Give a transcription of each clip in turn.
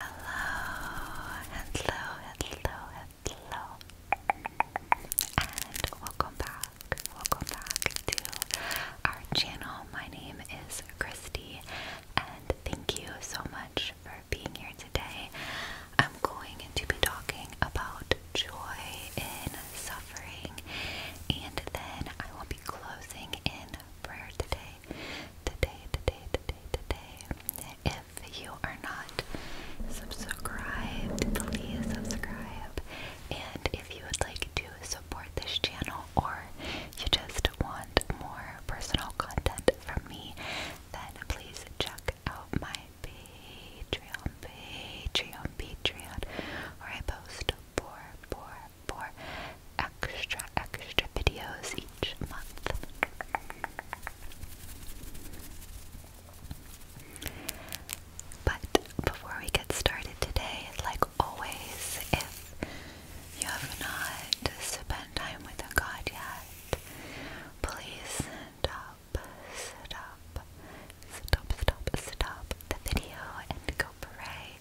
hello, hello, hello, and welcome back. Welcome back to our channel. My name is Christy, and thank you so much for being here today. I'm going to be talking about joy in suffering, and then I will be closing in prayer today. Today, today, today, today. If you are not subscribed, please subscribe. And if you would like to support this channel or you just want more personal content from me, then please check out my Patreon, Patreon, Patreon, where I post for, for, for extra, extra videos each month. But before we get started today, like always, if you have not spent time with god yet, please stop, stop, stop, stop, stop the video and go pray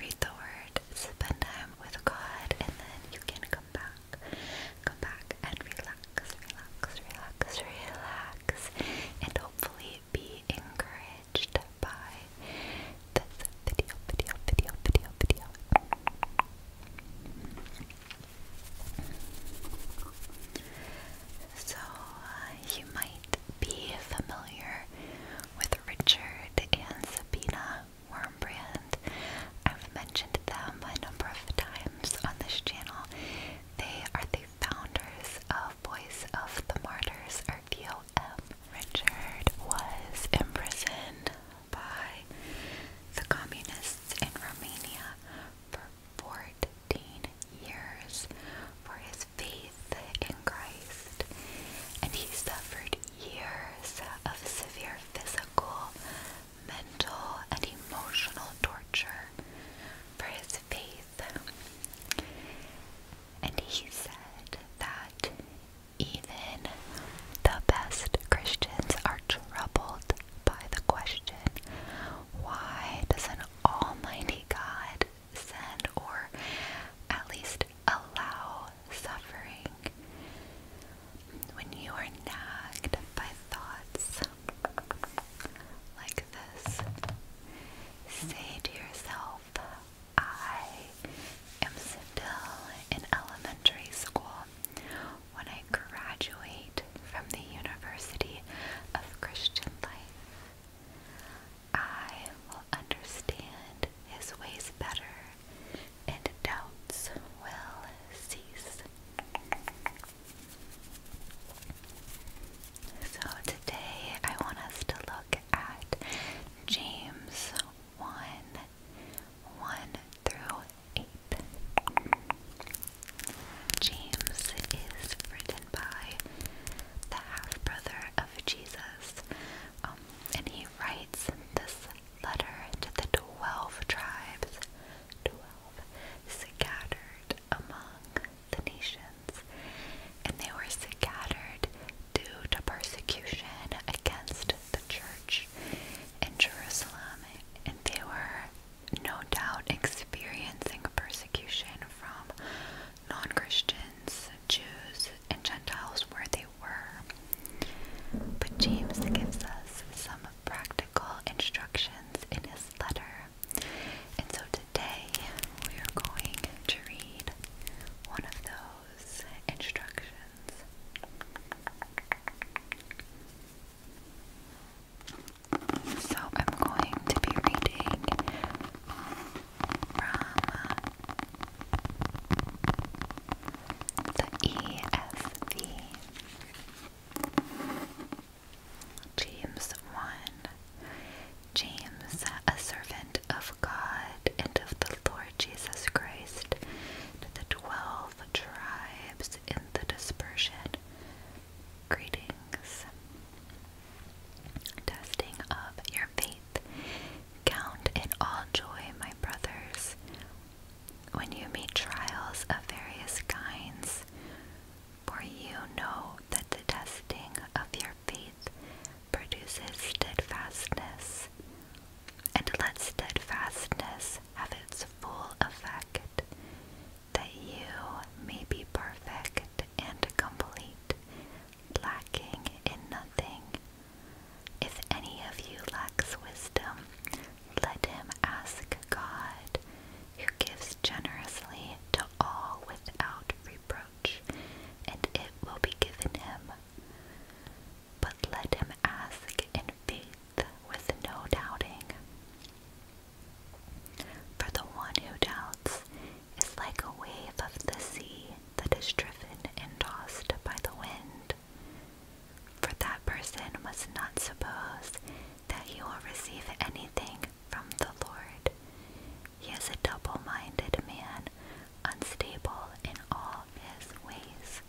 read the word, spend time with God, and then you can come back. Come back and relax, relax, relax, relax, and hopefully be encouraged by this video, video, video, video, video. So, you might be familiar with Richard and Sabina worm I've mentioned them a number of times on this channel. They are the founders of Voice of the Martyrs, or VOM. Richard was imprisoned by the communists in Romania for 14 years for his faith in Christ, and he suffered years of severe physical, mental, and emotional torture for his faith. And he said that even the best Christians are troubled by the question why does an almighty God send, or at least allow suffering. When you are nagged by thoughts like this, say to yourself, I am still in elementary school when I graduate from the University of Christian Life. I will understand his ways better and doubts will cease. So, today I want us to look at James 1 1 through 8. James is written by the half brother of Jesus, um, and he writes this letter to the twelve tribes, twelve scattered among the nations, and they were scattered due to persecution against the church in Jerusalem, and they were no doubt experiencing persecution from non-Christians, Jews, and Gentiles where they were. But James gives us some practical instructions in his letter. And so today we are going to read one of those instructions. So I'm going to be reading from the ESV James 1 James, a servant of God and of the Lord Jesus Christ, to the twelve tribes in the dispersion, greetings. Testing of your faith. Count in all joy, my brothers, when you meet trials of various kinds, for you know that the testing of your faith produces steadfastness, and let steadfastness have its full effect, that you may be perfect and complete, lacking in nothing. If any of you lacks wisdom, let him ask God, who gives generously to all without reproach, and it will be given him. But let him ask in faith with no doubting. For the one who doubts, is like a wave of the sea that is driven and tossed by the wind. For that person must not suppose that he will receive anything from the Lord. He is a double minded man, unstable in all his ways.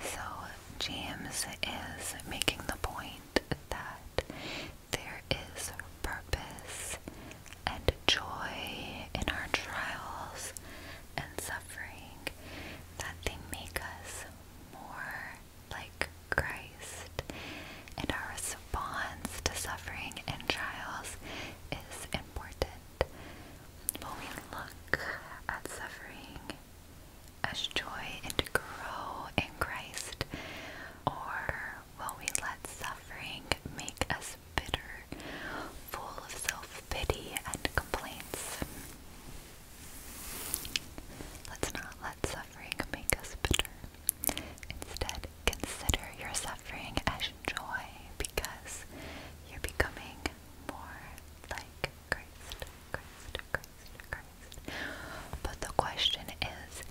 So, James is making the point that there is purpose and joy in our trials and suffering, that they make us more like Christ, and our response to suffering and trials is important. When we look at suffering as joy and to grow in Christ, or will we let suffering make us bitter, full of self pity and complaints? Let's not let suffering make us bitter. Instead, consider your suffering as joy because you're becoming more like Christ, Christ, Christ, Christ. But the question is,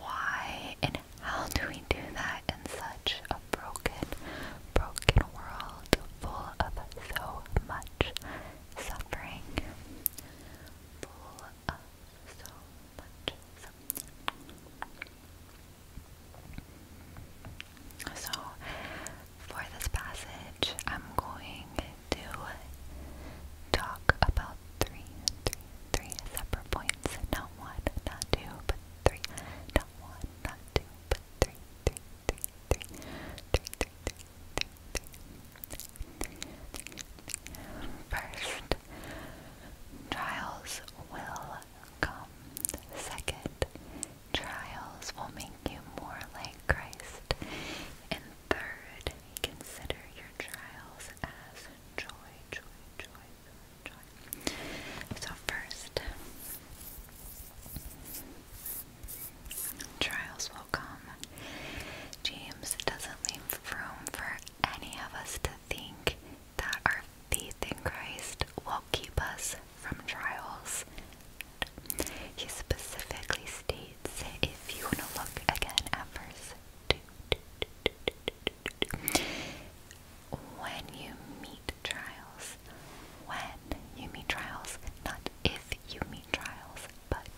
why and how do we do that in such a broken, broken world full of so much suffering? so much. So, for this passage, I'm going to talk about three, three, three separate points. Not one, not two, three. Not one, not two, First, trials will come. Second, trials will make you more like Christ. And third, consider your trials as joy, joy, joy, joy, joy. So first, trials will James doesn't leave room for any of us to think that our faith in Christ will keep us from trials. He specifically states if you want to look again at verse when you meet trials, when you meet trials, not if you meet trials, but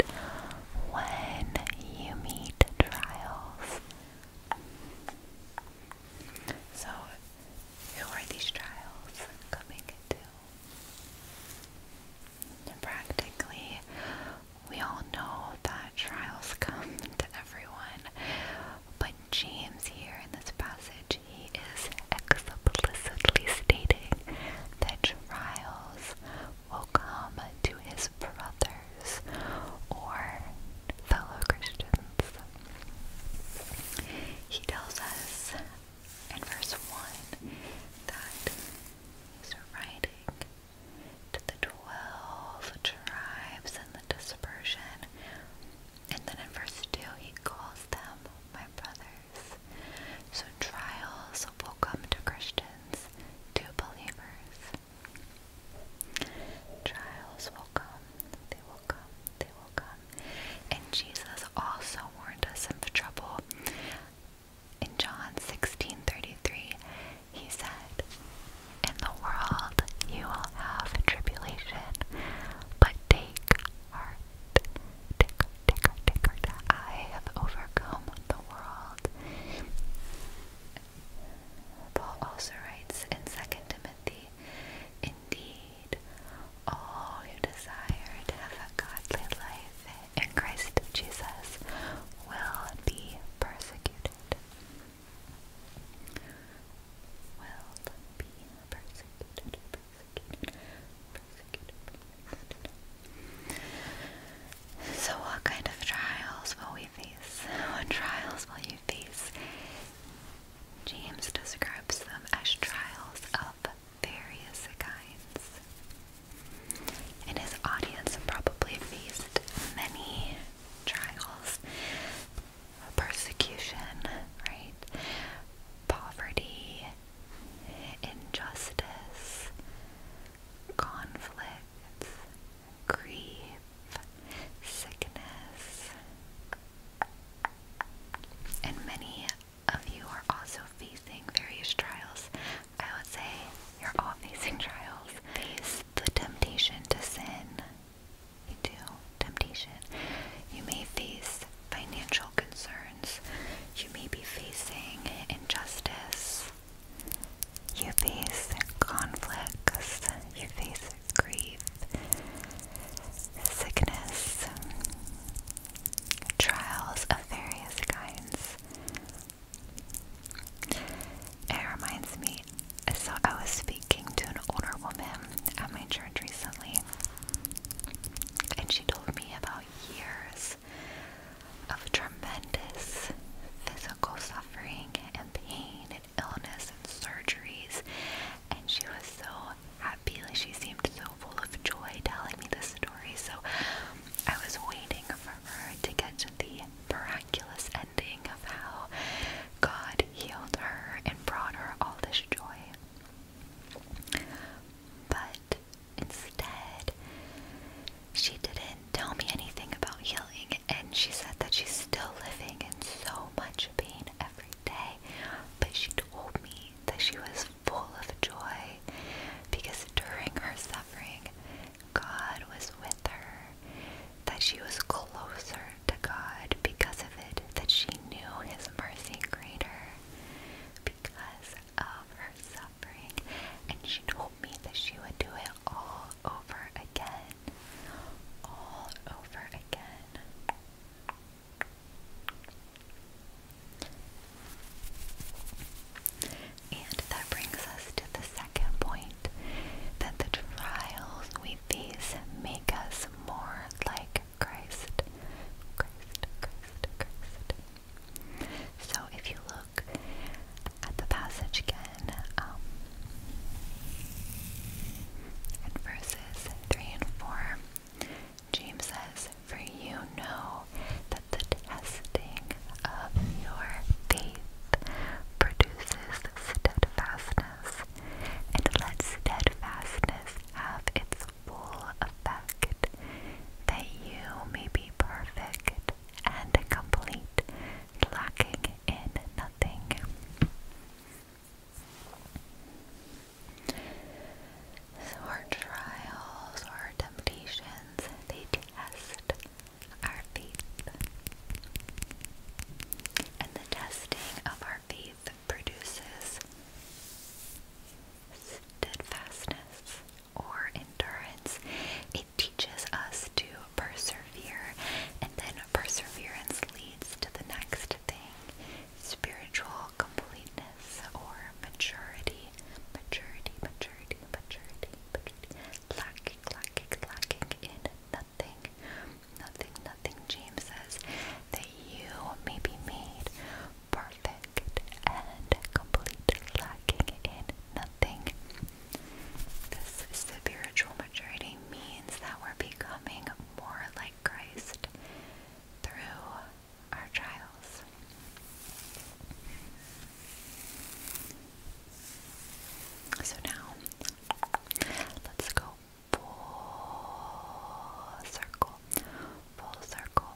when you meet trials. So, who are these trials coming into? Practically, we all know that trials come to everyone, but James here in this passage, he is explicitly stating that trials will come to his brothers or fellow Christians. He tells us in verse 1 that he's writing to the twelve tribes in the dispersion. And then in verse 2, he calls them my brothers. So trials will come to Christians, to believers. Trials will come, they will come, they will come. And Jesus also warned us of trouble. In John 16:33, he said, "In the world you will have tribulation, but take heart, ticker, ticker, ticker, I have overcome the world. Paul also writes in 2 Timothy, Indeed, all who desire to have a godly life in Christ Jesus will be persecuted. Will be persecuted, persecuted. So, what kind of trials will we face? What trials will you face? James describes them as trials of various kinds. And his audience probably faced many trials persecution, right? Poverty, injustice, conflict, grief, sickness. And many of you are also facing various trials. I would say you're all facing trials. Face the temptation to sin. You do. Temptation. You may face financial concerns. You may be facing injustice. You face conflicts. You face grief, sickness, trials of various kinds. It reminds me, so I was speaking to an older woman at my church recently, and she told me about years of tremendous physical suffering and pain and illness and surgeries. And she was so happy, like she seemed so full of joy telling me this story. So I was waiting for her to get to the miraculous ending of how God healed her and brought her all this joy. But instead, she didn't tell me anything about healing, and she said that she's still living in so much pain every day. But she told me that she was full of joy because during her suffering, God was with her, that she was closer to God because of it, that she knew His mercy greater because of her suffering, and she told me that she would do it all over again. All over again. And that brings us to the second point that the trials we face make us more like Christ. Christ. So if you look at the passage again, um, in verses 3 and 4, James says, For you know that the testing of your faith produces steadfastness, and let steadfastness have its full effect that you may be perfect and complete, lacking in nothing. our trials, our temptations, they test our faith. And the testing of our faith produces steadfastness or endurance. It teaches us to persevere, and then perseverance leads to the next thing spiritual completeness or maturity. Maturity, maturity, maturity, maturity. Lacking, lacking, lacking in nothing. Nothing, nothing, James says, that you may be made. Perfect perfect and complete, lacking in nothing. This spiritual maturity means that we're becoming more like Christ through our trials. So now, let's go full circle full, circle.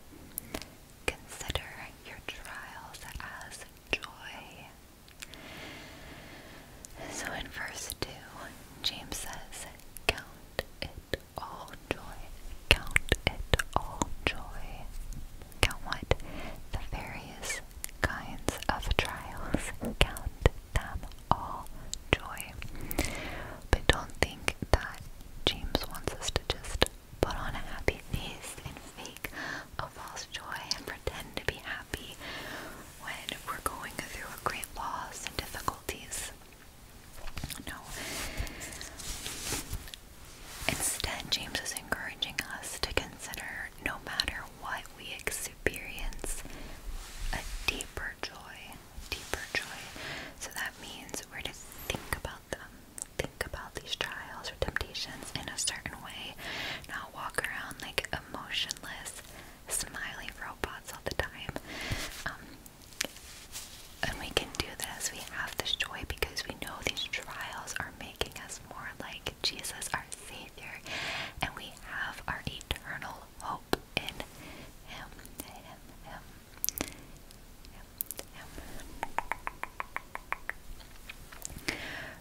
Consider your trials as joy. So in verse 2, James says, Count it all joy. Count it all joy. Count what? The various kinds of trials. Count them all joy. But don't think that James wants us to just put on a happy face and fake a false joy and pretend to be happy when we're going through a great loss and difficulties. No. Instead, James is encouraging us to consider no matter what we experience, a deeper joy, deeper joy. So that means we're to think about them, think about these trials or temptations in a certain way, not walk around like emotionless, smiley robots all the time. Um, and we can do this, we have this joy because we know these trials are making us more like Jesus, our Savior, and we have our eternal hope in him,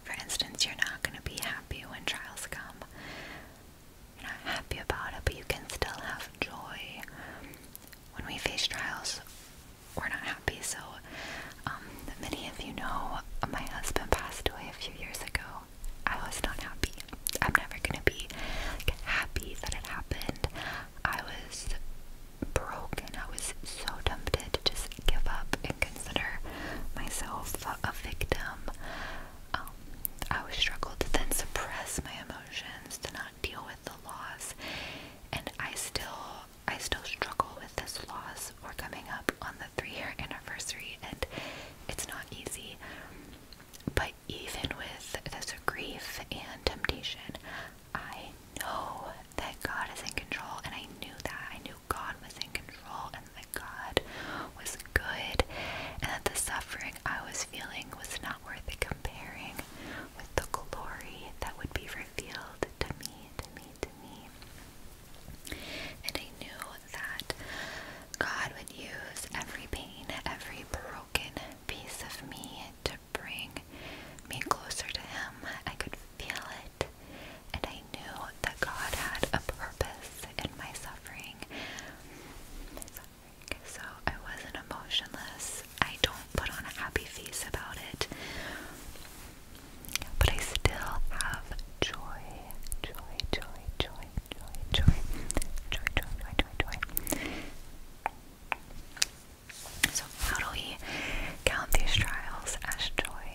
For instance, you're not going to be happy when trials come. You're not happy about it, but you can still have joy. When we face trials, we're not happy. So, um, many of you know my husband passed away a few years ago. I was not happy. I'm never gonna be happy that it happened. I was broken. I was so tempted to just give up and consider myself a victim. Um, I was struggled to then suppress my emotions, to not deal with the loss, and I still, I still struggle with this loss. We're coming up on the three-year anniversary, and it's not easy. But even with this grief and temptation, I know that God is in control, and I knew that. I knew God was in control, and that God was good, and that the suffering I was feeling was not worth comparing with the glory that would be revealed to me, to me, to me. And I knew that God would use every pain, every broken piece of me to bring me closer to Him. I could feel it, and I knew that God had a purpose in my suffering. My suffering. So I wasn't emotionless. I don't put on a happy face about it, but I still have joy, joy, joy, joy joy, joy, joy, joy, joy, joy, So, how do we count these trials as joy?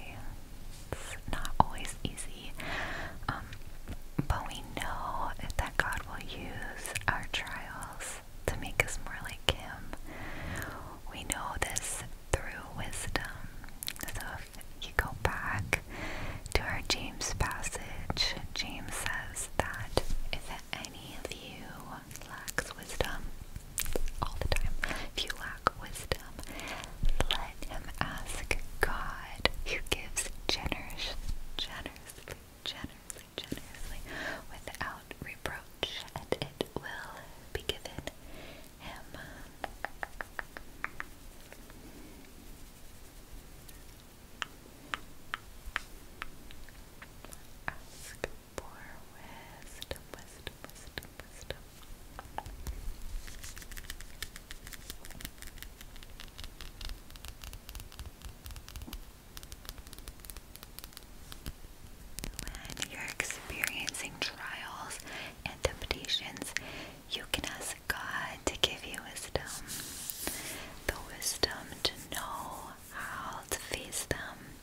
It's not always easy, um, but we know that God will use our trials to make us more like Him. We know this through wisdom. So, if you go back to our James passage, James says, that if any of you lacks wisdom all the time, if you lack wisdom, let him ask God who gives generous, generously, generously, generously, without reproach, and it will be given him. Ask for wisdom, wisdom, wisdom, wisdom. When you're experiencing trials and temptations, you can ask God to give you wisdom the wisdom to know how to face them,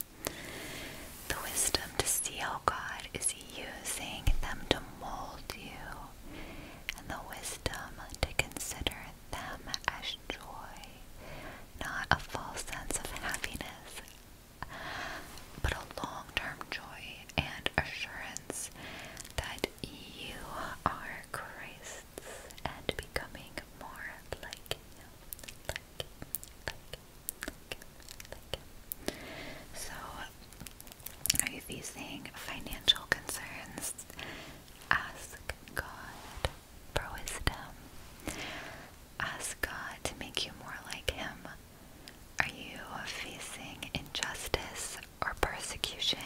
the wisdom to see how God is using them to mold you, and the wisdom to consider them as joy, not a false sense of happiness, but a long term joy and assurance that you are Christ's and becoming more like Him. So, are you facing financial concerns? Ask God for wisdom. Ask God to make you more like Him. Are you facing injustice or persecution?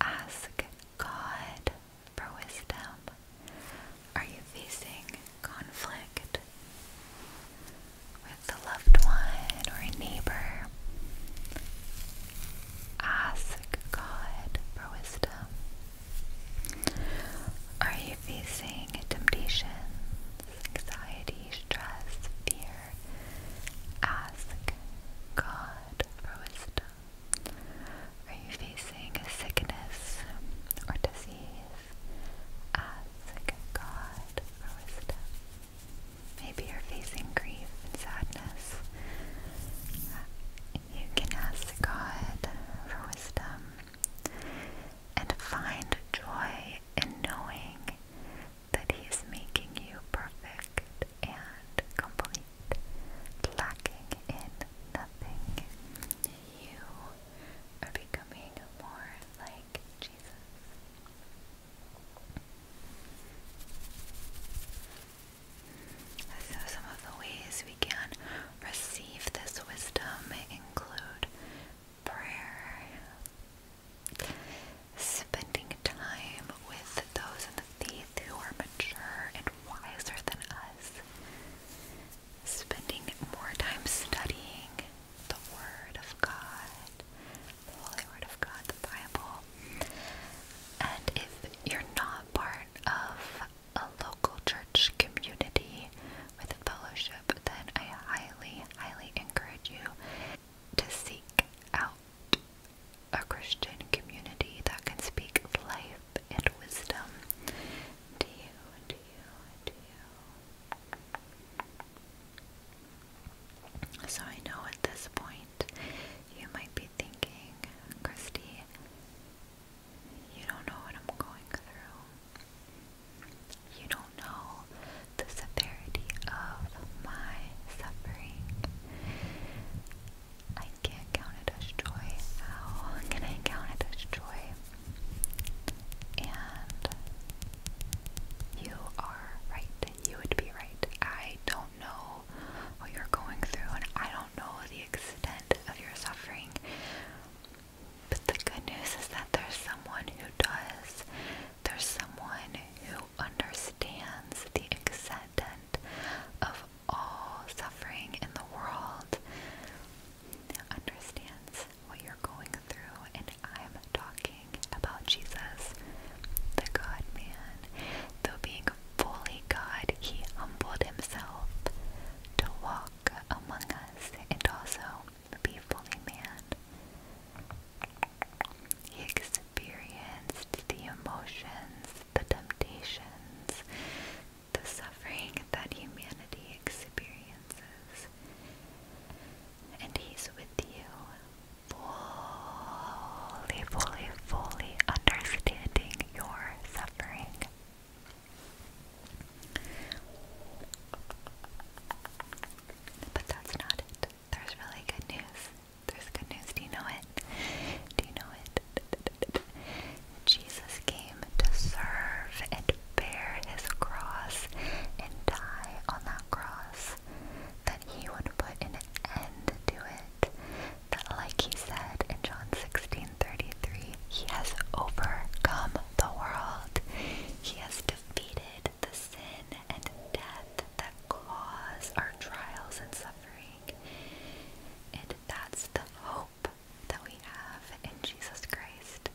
Ask God for wisdom. Are you facing conflict with a loved one or a neighbor? Ask God for wisdom. Are you facing temptation, anxiety, stress, fear? Ask God for wisdom. Are you facing sickness or disease? Ask God for wisdom. Maybe you're facing grief and sadness. You can ask God for wisdom and find joy in knowing that He is making you perfect and complete, lacking in nothing. You are becoming more like Jesus. So, some of the ways we can receive this wisdom include prayer, Spending time with those in the faith who are mature and wiser than us. Spending more time studying the Word of God, the Holy Word of God, the Bible. And if you're not part of a local church community with a fellowship, then I highly, highly encourage you to seek out a Christian community that can speak life and wisdom to you, So I know at this point you might be thinking, Christy, you don't know what I'm going through. You don't know the severity of my suffering. I can't count it as joy. How can I count it as joy? And you are right. You would be right. I don't know what you're going through, and I don't know the extent of your suffering. But the good news is that there's someone who does, there's someone who understands the extent of all suffering in the world, understands what you're going through, and I'm talking about Jesus, the God man. Though being fully God, he humbled himself to walk among us and also be fully man. He experienced the emotions, the temptations, the suffering that humanity experiences. And He's with you, fully, fully, fully understanding your suffering. But that's not it there's really good news. There's good news. Do you know it? Do you know it? Jesus came to serve and bear his cross and die on that cross, that he would put an end to it. That, like he said in John 16 33, he has overcome the world, he has defeated the sin and death that cause our trials and suffering. And that's the hope that we have in Jesus Christ.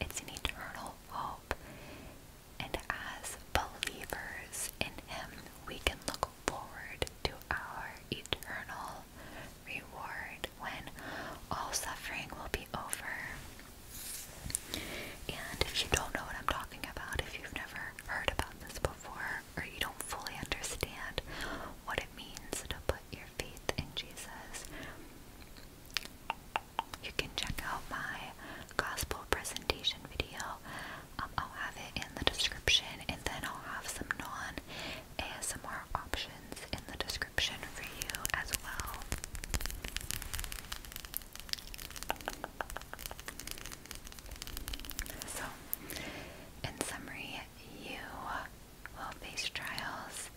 It's an eternal hope. And as believers in Him, we can look forward to our eternal reward when all suffering will be over. And if you don't know what I'm talking about, if you've never heard about this before, or you don't fully understand what it means to put your faith in Jesus, you can check out my gospel presentation video. Um, I'll have it in the description, and then I'll have some non ASMR options in the description for you as well. So, in summary, you will face trials,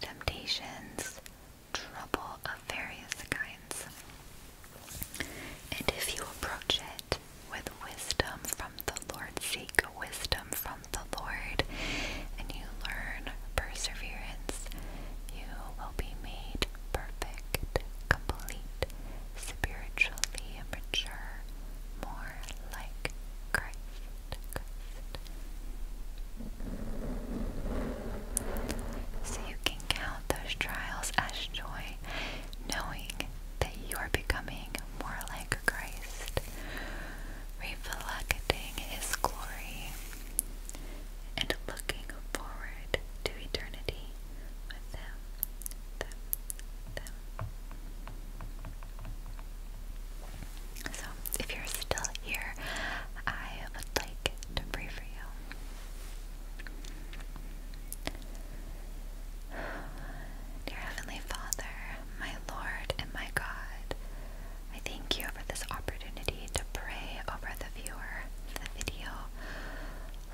temptations, trouble of various kinds. And if you approach it with wisdom from the Lord, seek wisdom from the Lord, and you learn perseverance, you will be made perfect, complete, spiritually mature, more like Christ. So you can count those trials as joy, knowing that you are becoming more like Christ, reflecting His glory and looking forward to eternity with them, So, if you're still here, I would like to pray for you. Dear Heavenly Father, my Lord and my God, I thank you for this opportunity to pray over the viewer, the video.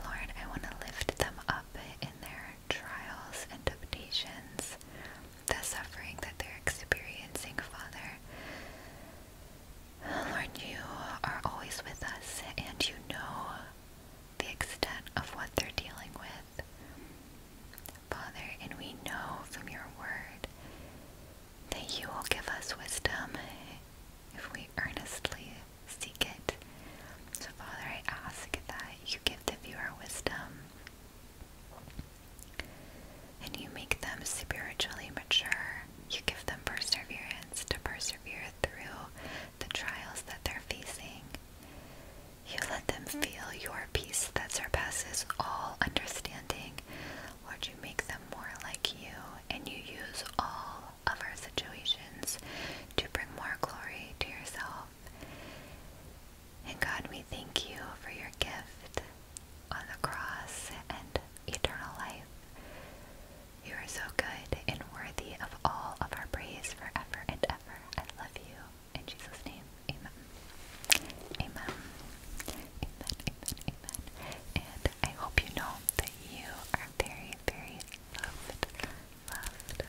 Lord, I want to lift them up in their trials and temptations, the suffering that they're experiencing, Father. Lord, you are always with us and you know the extent of what they're dealing with, Father, and we know from your word that you will give us wisdom if we earnestly seek it. So, Father, I ask that you give the viewer wisdom and you make them spiritually mature. You give them perseverance to persevere through the trials that they're facing. You let them feel your peace that surpasses all understanding, Lord, you make them more like you, and you use all of our situations to bring more glory to yourself. And God, we thank you for your gift on the cross and eternal life. You are so good and worthy of all of our praise forever and ever. I love you. In Jesus' name, amen. Amen. And I hope you know that you are very, very loved, loved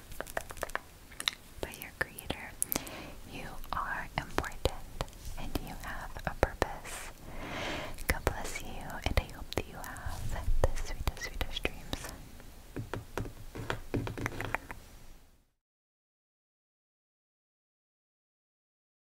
by your Creator. You are important and you have a purpose. God bless you, and I hope that you have the sweetest, sweetest dreams.